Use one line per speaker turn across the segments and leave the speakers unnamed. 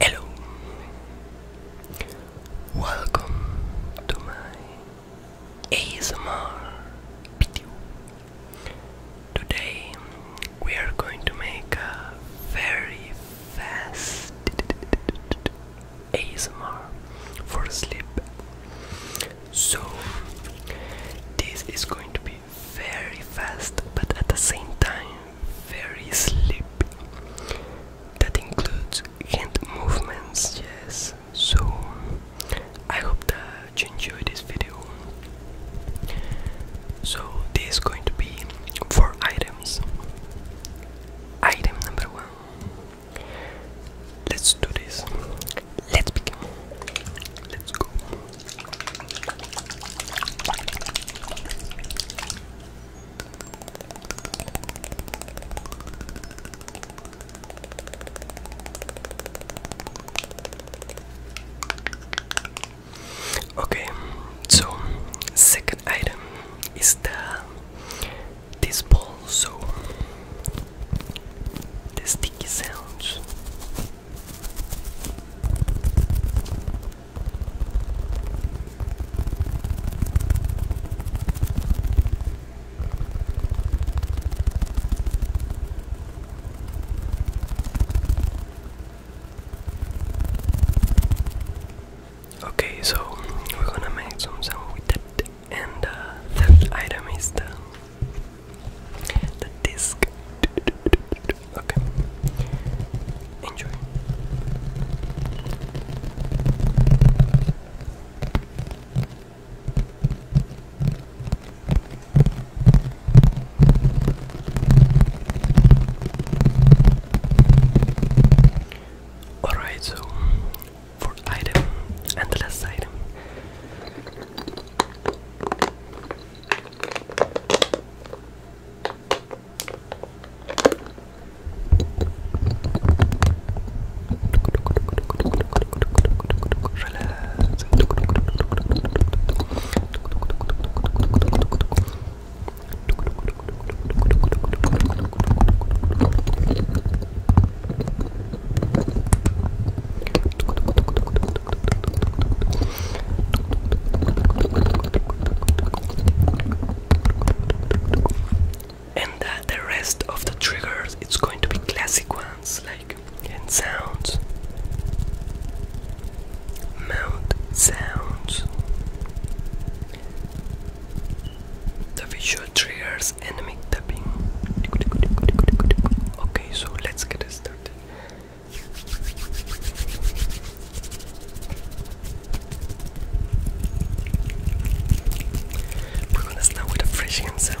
Hello, welcome to my ASMR video. Today we are going to make a very fast ASMR for sleep. So this is going to be very fast but at the same time very sleepy. That includes hand movements, yes. So I hope that much this video. So this is going to be four items. Item number one. Let's do this. Let's begin. Let's go. Okay, so second item is the this ball, so the sticky sounds. Okay, so we're gonna make some sound with it, and the uh, item is the the disc. Okay, enjoy. Alright, so fourth item and the last item. And the rest of the triggers, it's going to be classic ones and sounds. Mount sounds. The visual triggers enemy tapping. Okay, so let's get started. We're gonna start with the fresh hand sounds.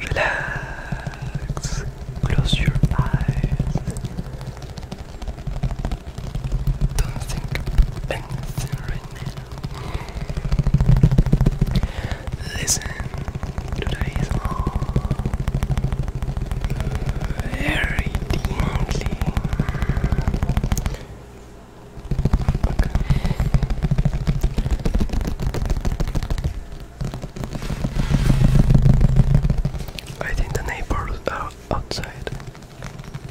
Relax. Close your eyes. Don't think anything right Listen to this very deeply. I think the neighbors are outside,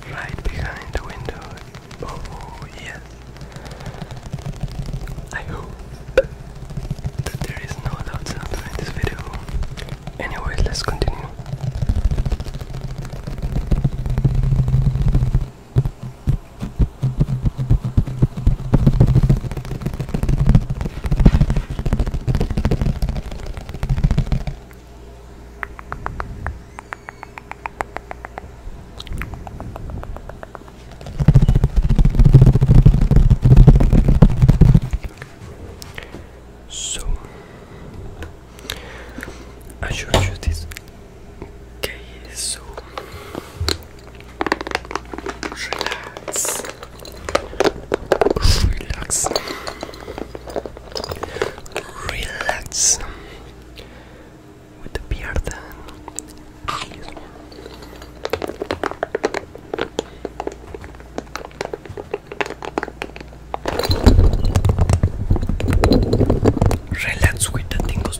right behind the windows. Oh yes. I hope that there is no loud sounds in this video. Anyway, let's continue. So I should you this okay so relax relax relax with the beard and yes. Relax with the tingles.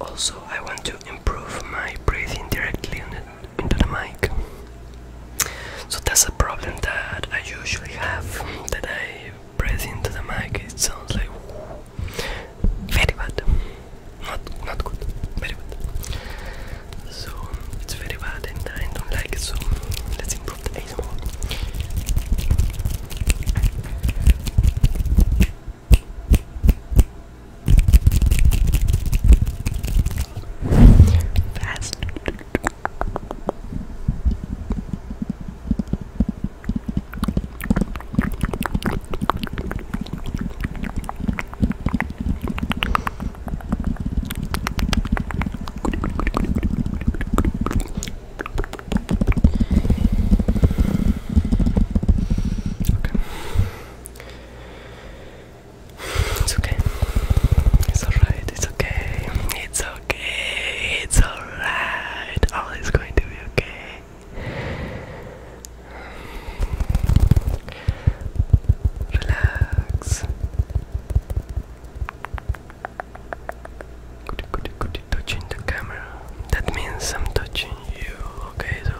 Also, I want to improve my breathing directly into the mic. So that's a problem that I usually have that I breathe into the mic. It sounds like. Very bad. Not not good. Very bad. So it's very bad and I don't like it so let's improve the ASMR. Fast. It's okay. It's alright. It's okay. It's okay. It's alright. All is going to be okay. Relax. Could you, could touching the camera? That means I'm touching you, okay? So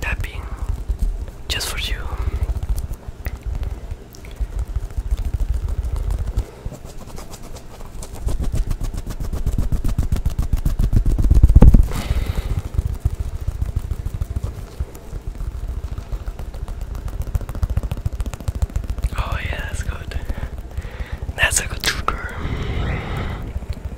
tapping just for you. Oh yeah, that's good. That's a good trigger.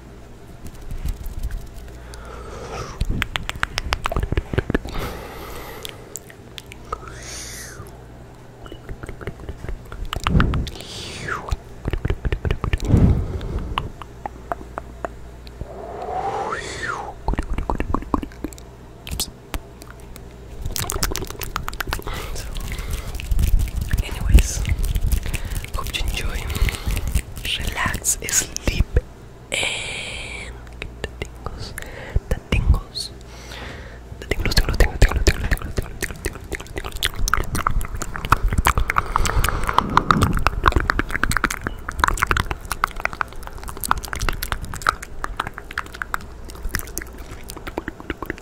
So, anyways, Hope you enjoy. Relax, sleep, and get the tingles. The tingles. The tingles, tingles, tingles, tingles, tingles, tingles, tingles, tingles, tingles,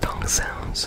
Tongue sounds.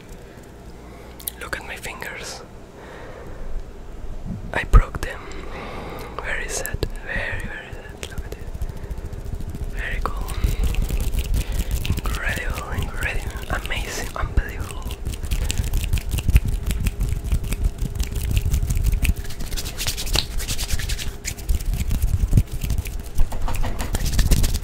Look at my fingers. I broke them. Very sad. Very, very sad. Look at it. Very cool. Incredible, incredible, amazing, unbelievable.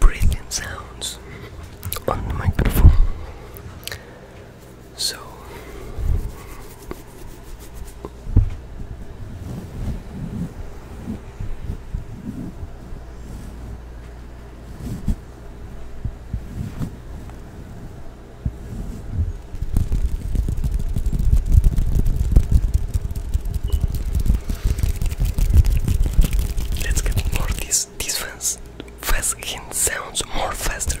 breathing sounds on the microphone. So Let's get more this this fast fast hint sounds more faster.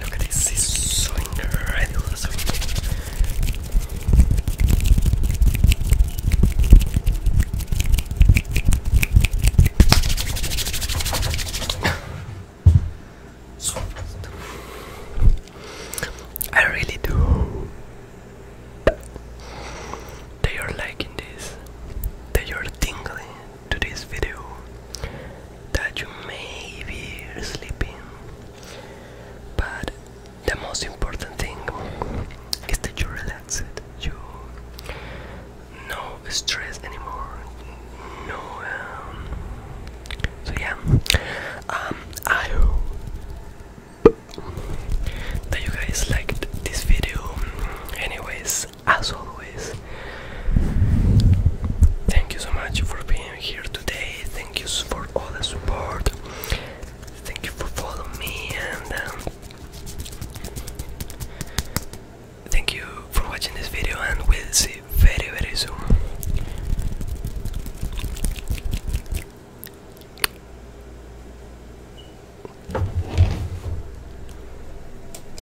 Look at this, it's so incredible. So I really do hope are liking this, that are tingling, to this video that you may be sleeping but the most important thing is that you relax it you no stress anymore no um, so yeah um I hope that you guys liked this video anyways as always, thank you so much for being here today. Thank you for all the support. Thank you for following me and um, thank you for watching this video. And we'll see very, very soon.